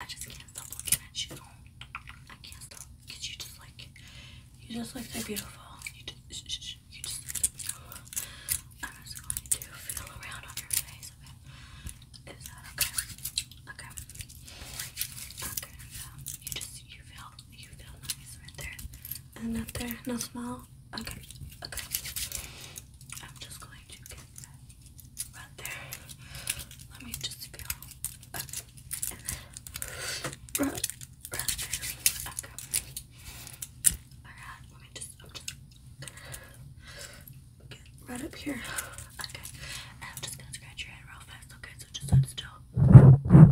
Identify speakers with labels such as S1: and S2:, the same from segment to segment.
S1: I just can't stop looking at you. I can't stop. Cause you just like, you just look so beautiful. You just, you just look so beautiful. I'm just going to feel around on your face Is that okay? Okay. Okay. Um, you just, you feel, you feel nice right there. And up there, no smell. Okay. Okay. I'm just going to get that Right there. Let me just go up right, there. Okay. Alright, let me just, i right up here. Okay. I'm just gonna scratch your head real fast, okay? So just sit still. Okay,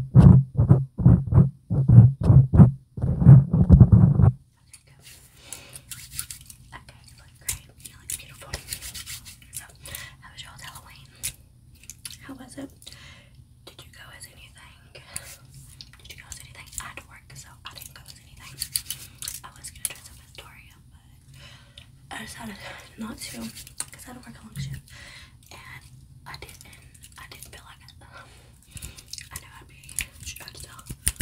S1: Okay, Great. You look beautiful. how was your Halloween? How was it? Did you go as anything? Did you go as anything? I had to work, so I didn't go as anything. I was gonna dress up as Doria, but I decided not to because I had to work a long shift, and I didn't. I didn't feel like it. I know I'd be stressed out.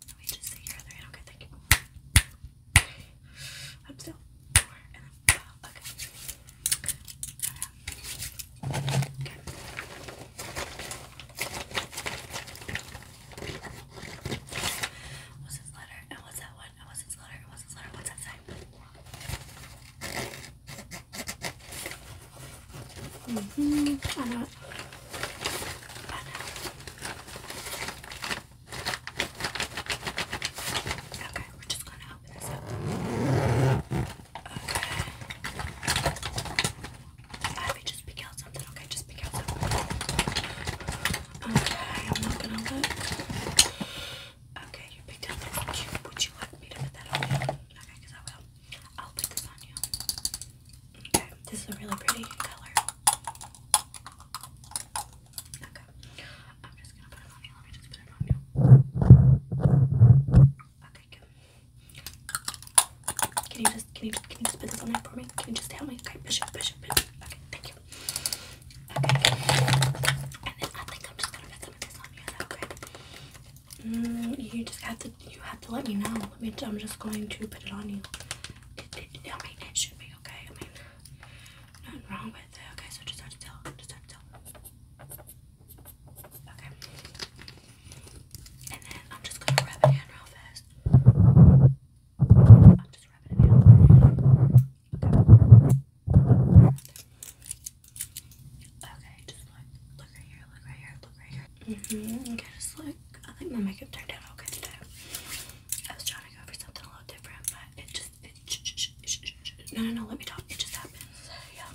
S1: Let me just take your other hand. Okay, thank you. Okay. Up still. okay. What's this letter? And what's that one? what's this letter? what's this letter? What's that sign? hmm I know it. I know. Okay, we're just gonna open this up. Okay. just pick out something. Okay, just pick out something. Okay, I'm not gonna look. Okay, you picked out something. Would you, would you like me to put that on you? Okay, I will. I'll put this on you. Okay, this is a really pretty color. Okay, I'm just gonna put it on you. Let me just put it on you. Okay, good. Can you just can you can you just put this on me for me? Can you just help me? Okay, push it, push it, push it. Okay, thank you. Okay, and then I think I'm just gonna put this on you. that okay? Mm, you just have to you have to let me know. Let me. I'm just going to put it on you. I mean, it should be okay. I mean, nothing wrong with it. Okay, so just have to tell. Just have to tell. Okay. And then I'm just gonna rub it in real fast. I'm just rubbing it Okay. just look. Look right here. Look right here. Look right here. hmm Okay, just look. I think my makeup turned out okay today. I was trying to go for something a little different, but it just it, sh sh sh sh sh no no no let me talk. It just happens. So, yeah.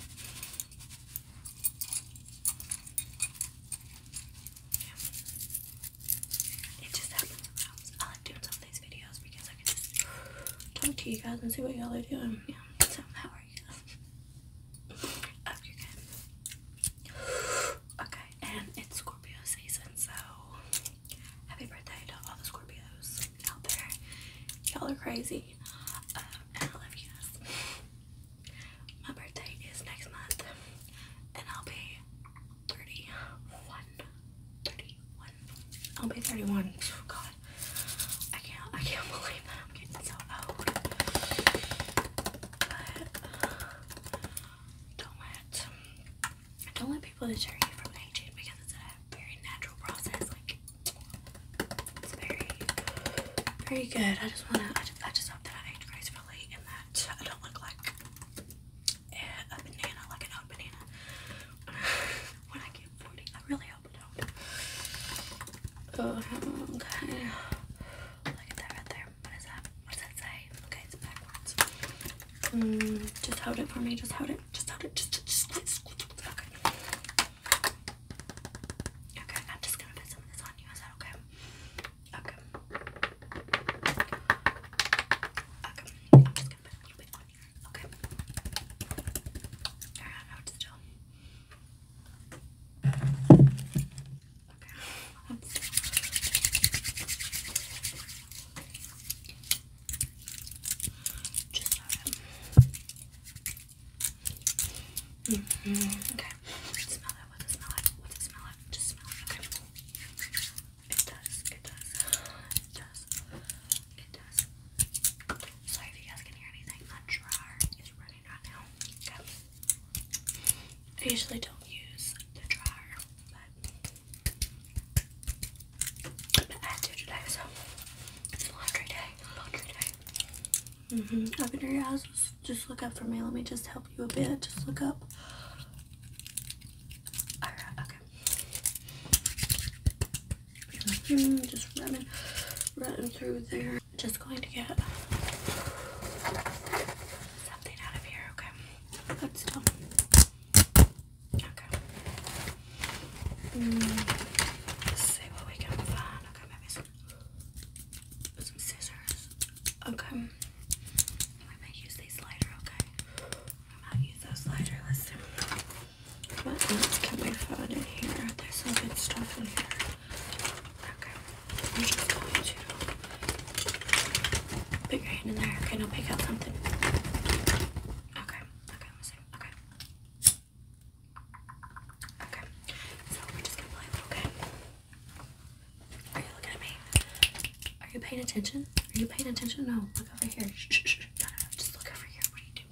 S1: yeah. It just happens sometimes. I like doing some of these videos because I can just talk to you guys and see what y'all are doing. Yeah. So how are you guys? I hope you're good. Okay, and it's Scorpio season, so happy birthday to all the Scorpios out there. Y'all are crazy, um, and I love you guys. My birthday is next month, and I'll be 31. 31. I'll be 31. Oh, God, I can't, I can't believe I'm getting so old. But, don't let don't let people deter you from aging because it's a very natural process. Like it's very very good. I just wanna I just, I just hope that I age gracefully and that I don't look like a, banana, like an old banana. when I get 40, I really hope I don't. Oh, okay. Look at that right there. What is that? What does that say? Okay, it's backwards. Mm, just hold it for me. Just hold it. Just hold it. Just, just, just, just, just. Okay. Okay, I'm just gonna put some of this on you. Is that okay? Okay. Okay. I'm just gonna put a little bit on here. Okay. Alright, I know what to do. Okay. Just mm -hmm. Okay. Smell it. What's it smell like? What's it smell like? Just smell it. Okay. It does. It does. It does. It does. Sorry if you guys can hear anything. My dryer is running probably not now. Okay. I usually don't use the dryer, but, but I had to today, so it's laundry day. Laundry day. Mm hmm. Open your eyes. Just look up for me. Let me just help you a bit. Just look up. Alright, okay. Mm -hmm. Just running, running through there just going to get something out of here, okay? Good still. Okay. Mm, let's see what we can find. Okay, maybe some, scissors. Okay. We might use these later, okay? We might use those later. Let's see. What else can we find in here? There's some good stuff in here. Okay. put your hand in there. Okay, now pick out something. Okay. Okay, Okay. Okay. So we're just gonna play a Are you looking at me? Are you paying attention? Are you paying attention? No. Look over here. Shh, Just look over here. What do you do?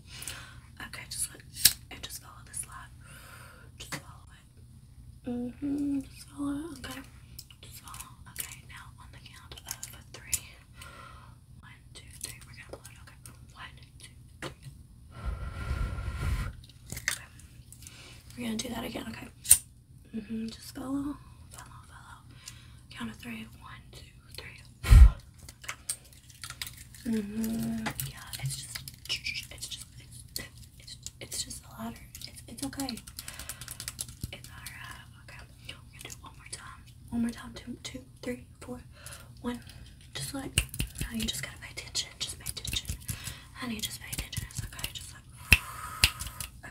S1: Okay, just look and just follow this line. Just follow it. Mm hmm. Swallow. Okay. Swallow. Okay. Now on the count of three. One, two, three. We're gonna blow it. Okay. One, two, three. We're gonna do that again. Okay. Mm hmm. Just follow. Follow. Follow. Count of three. One, two, three. hmm. Yeah. It's, it's just a ladder. It's, it's okay. alright. Okay. We're gonna do one more time. One more time. Two, two, three, four, one. Just like, now you just gotta pay attention. Just pay attention. Honey, just pay attention. okay. Just like,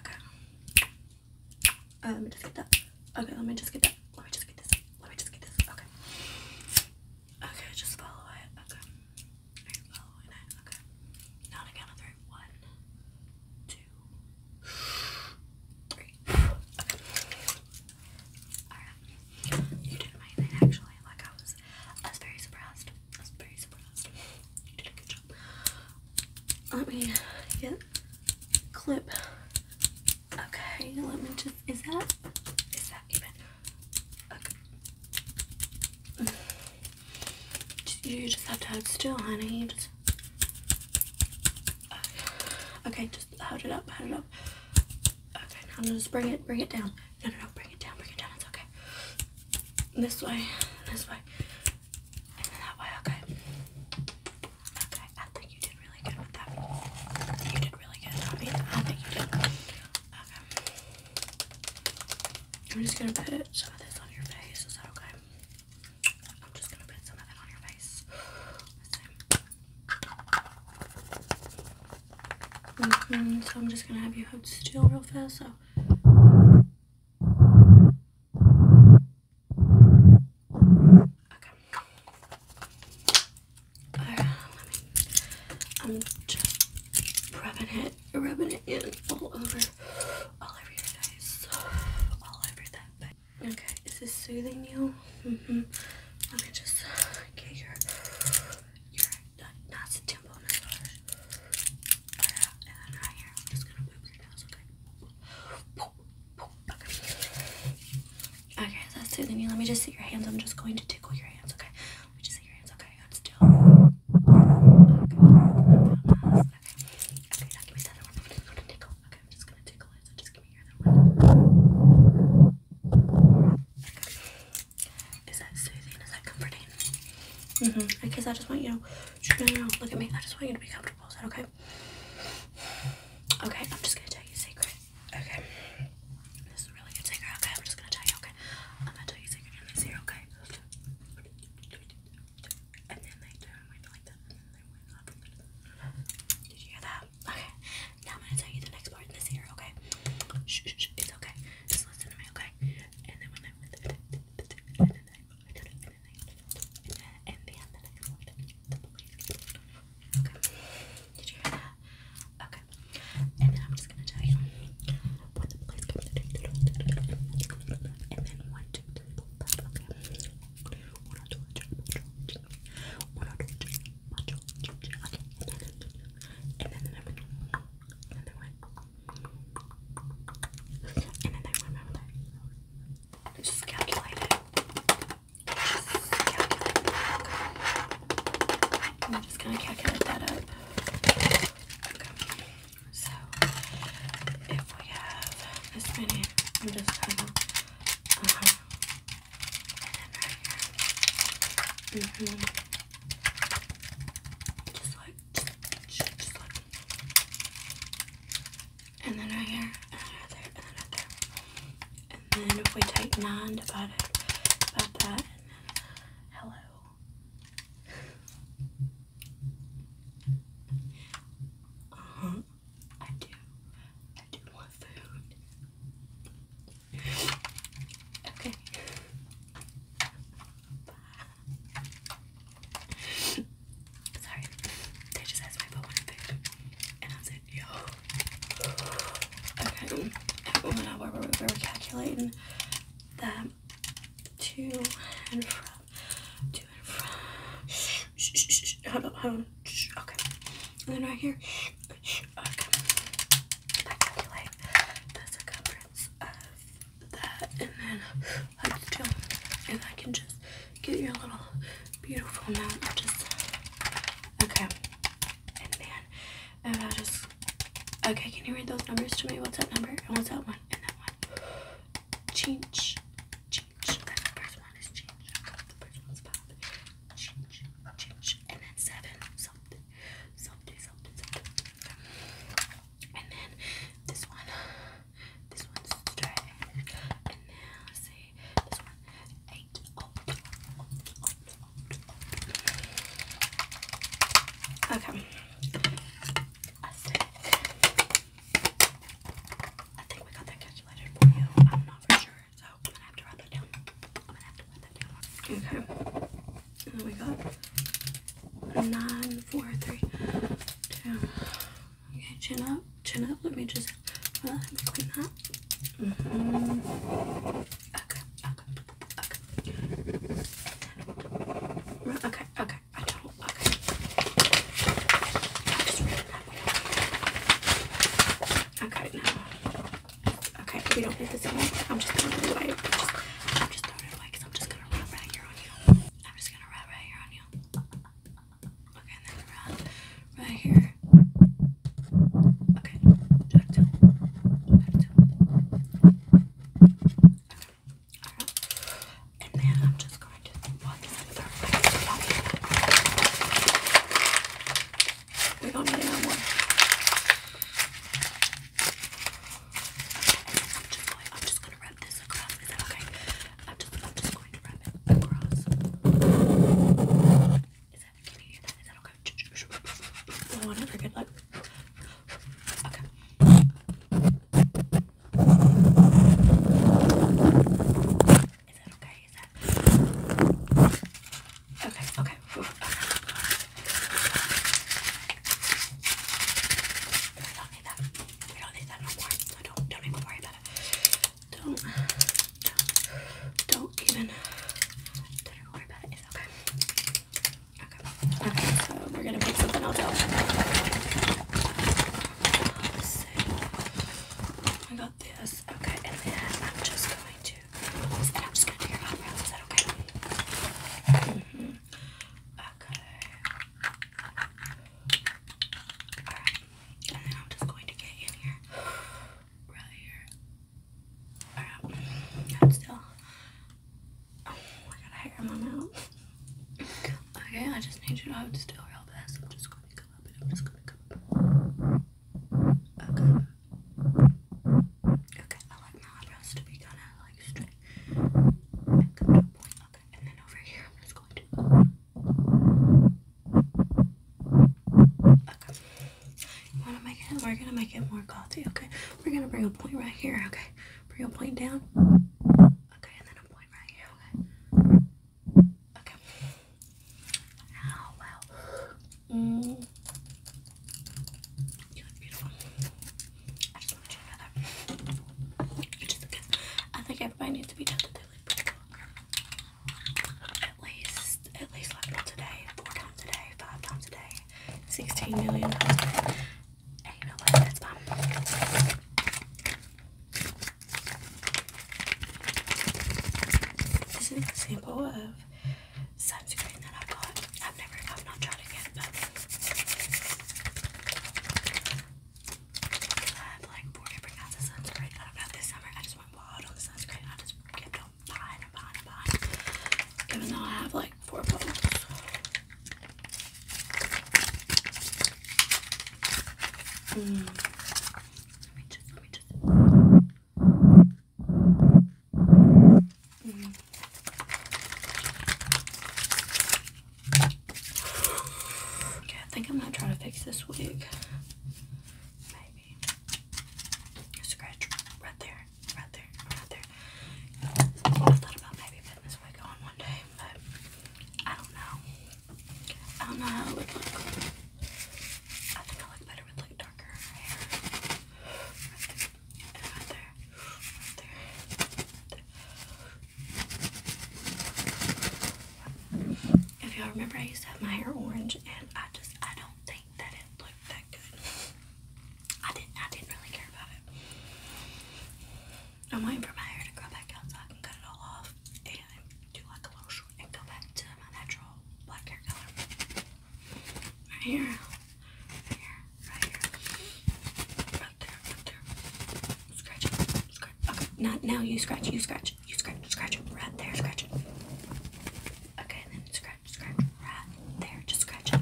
S1: okay. Uh, let me just get that. Okay, let me just get that. Let me just get this. Let me just get this. Okay. Okay, just follow it. Okay. Okay. Now on count of three. One, two, three. Alright. You did amazing actually. Like I was I was very surprised. I was very surprised. You did a good job. Let me get clip. Okay, let me just is that is that even you just have to hold still, honey. Okay, just hold it up, hold it up. Okay, now just bring it, bring it down. No, no, no, bring it down, bring it down. It's okay. This way, this way, and that way. Okay. Okay, I think you did really good with that. You did really good. I I think you did. Okay. I'm just gonna put some of this on your face. Is that okay? I'm just gonna put some of it on your face. Mm-hmm, so I'm just gonna have you hold still real fast. So. I'm just rubbing it, rubbing it in all over, all over your face, all over that back. Okay, is this soothing you? Mm hmm. Let me just get your, your not temple massage. and then right here, I'm just gonna move your nose, okay? Okay, that's soothing you. Let me just see your hands. I'm just going to tickle your hands, okay? Let me just see your hands. Okay, I'm still. Okay, okay, now give me that one. I'm gonna tickle. Okay, I'm just gonna tickle it. So just give me your one. Okay. Is that soothing? Is that comforting? Mm-hmm. Okay, so I just want you to no, no, no, look at me. I just want you to be comfortable. Is that okay? Okay, I'm just gonna tell you a secret. Okay. This is really good secret. Okay, I'm just gonna tell you, okay? I'm gonna tell you a secret in this here, okay? Did you hear that? Okay. Now I'm gonna tell you the next part in this here, okay? Shh, shh, It's okay. Just listen to me, Okay. Did you hear that? Okay. And then I'm just gonna tell you what and then one, two, three, four, five. Okay. okay. And then And then one. And then I remember Just calculate it. I'm just gonna calculate that up. So if we have this many, I'm just gonna uh -huh. and right here. Mm-hmm. Just like just, like and then right here, and then right and then right and then if we take 9 divided by that, hello. uh huh. I do. I do want food. Okay. Bye. Sorry. They just asked me if I wanted And I said, yo. Okay, one hour we were calculating them to and from, to and from. Shh, shh, shh, hold on, hold okay, and then right here. Okay, I calculate the circumference of that, and then let And I can just get your little beautiful amount. Just okay and a And I just, okay, can you read those numbers to me? What's that number? And what's that one? And that one. Change. Change. That the first one is change. the first one's five. Change. Change. And then seven. Something. Something. Something. Something. And then this one. This one's straight. And then let this Eight. Okay. I think, we got that calculated I'm not for sure, so I'm gonna have to write that down. Okay. then we got nine, four, three, two. Okay, chin up, chin up. Let me just well, I'm that. Okay, okay, okay. Okay, okay. Okay. just we don't need this anymore. I'm just throwing it away. I'm just throwing it away I'm just gonna wrap right here on you. I'm just gonna wrap right here on you. Okay, then wrap, right here. Okay, And then I'm just going to put this in third place. We do need it I'm just going, I'm just going to wrap this across. okay? I'm just, going to wrap it across. Can you hear that? Is that okay? I want to forget that. Okay. Is that okay? Is that okay? Okay. okay. I don't need that. We don't need that no more. So don't don't even worry about it. Don't, don't, even, don't worry about it. okay. Okay. so we're gonna pick something out. Let's I got this. Okay, and then I'm just going to, and I'm just gonna do your eyebrows. Is that okay? Mm-hmm. Okay. Alright, and then I'm just going to get in here right here. Alright, God still. Oh, I got hair in my mouth. Okay, I just need you to hold still real fast. I'm just gonna come up and I'm just gonna come up. Okay. Okay, I like my eyebrows to be kinda like straight. come to point. Okay, and then over here I'm just going to Okay. You wanna make it? We're gonna make it more clothy, okay? We're gonna bring a point right here, okay? Bring a point down. Okay, and then a point right here, okay? Okay. Oh wow. Mm. You look beautiful. I just want to check that out. I think everybody needs to be done at least, at least like four times a day, five times a day, 16 million times a day. This is an example of sunscreen that I got. I've never, I've not tried it yet, but I have like four different kinds of sunscreen I've got this summer. I just want I just kept on buying buying buying. Even though I have like four bottles. Mm. Okay, I think I'm gonna try to fix this wig. Maybe. scratch right there, right there, right there. I thought about maybe putting this wig on one day, but I don't know. I don't know how it would look. I think I look better with like darker hair. right there, right there. Right there. If y'all remember, I used to have my hair orange, and I just I don't think that it looked that good. I didn't I didn't really care about it. I'm waiting for my hair to grow back out so I can cut it all off and do like a little short and go back to my natural black hair color. Right here, right here, right here, right there, right there. Scratch, scratch. Okay, not now. You scratch. You scratch scratch, you scratch, scratch, right there, scratch it. Okay, then scratch, scratch, right there, just scratch it.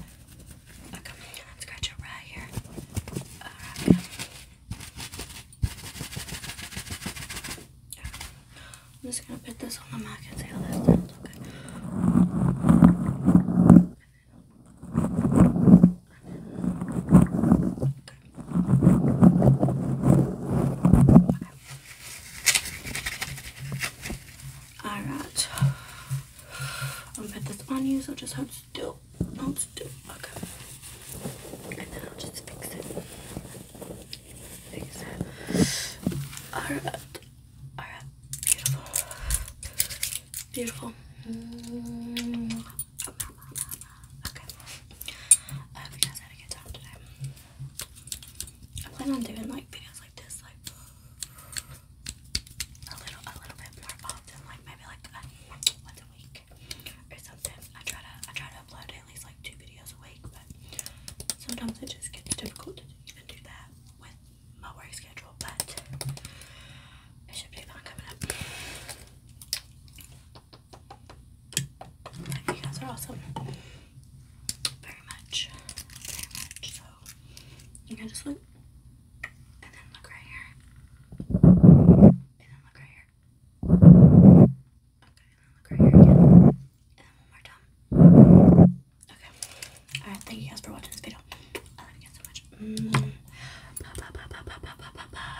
S1: Okay, scratch it right here. I'm just gonna put this on the mic and see how that sounds, okay. Alright. I'm gonna put this on you, so just hold still. Hold still. Okay. And then I'll just fix it. Fix it. Alright. Alright. Beautiful. Beautiful. -hmm. Okay. I hope you guys had a good time today. I plan on doing like videos like this, like a little, a little bit more often, like maybe like once a week or something. I try to, I try to upload at least like two videos a week, but sometimes it just gets difficult to even do that with my work schedule. But it should be fun coming up you guys are awesome. Very much. Very much. So, you can just And then look right here. And then look right here. Okay, and then look right here again. And then one more time. Okay. Alright, thank you guys for watching this video. I love you guys so much. Mm -hmm. Ba ba ba ba ba ba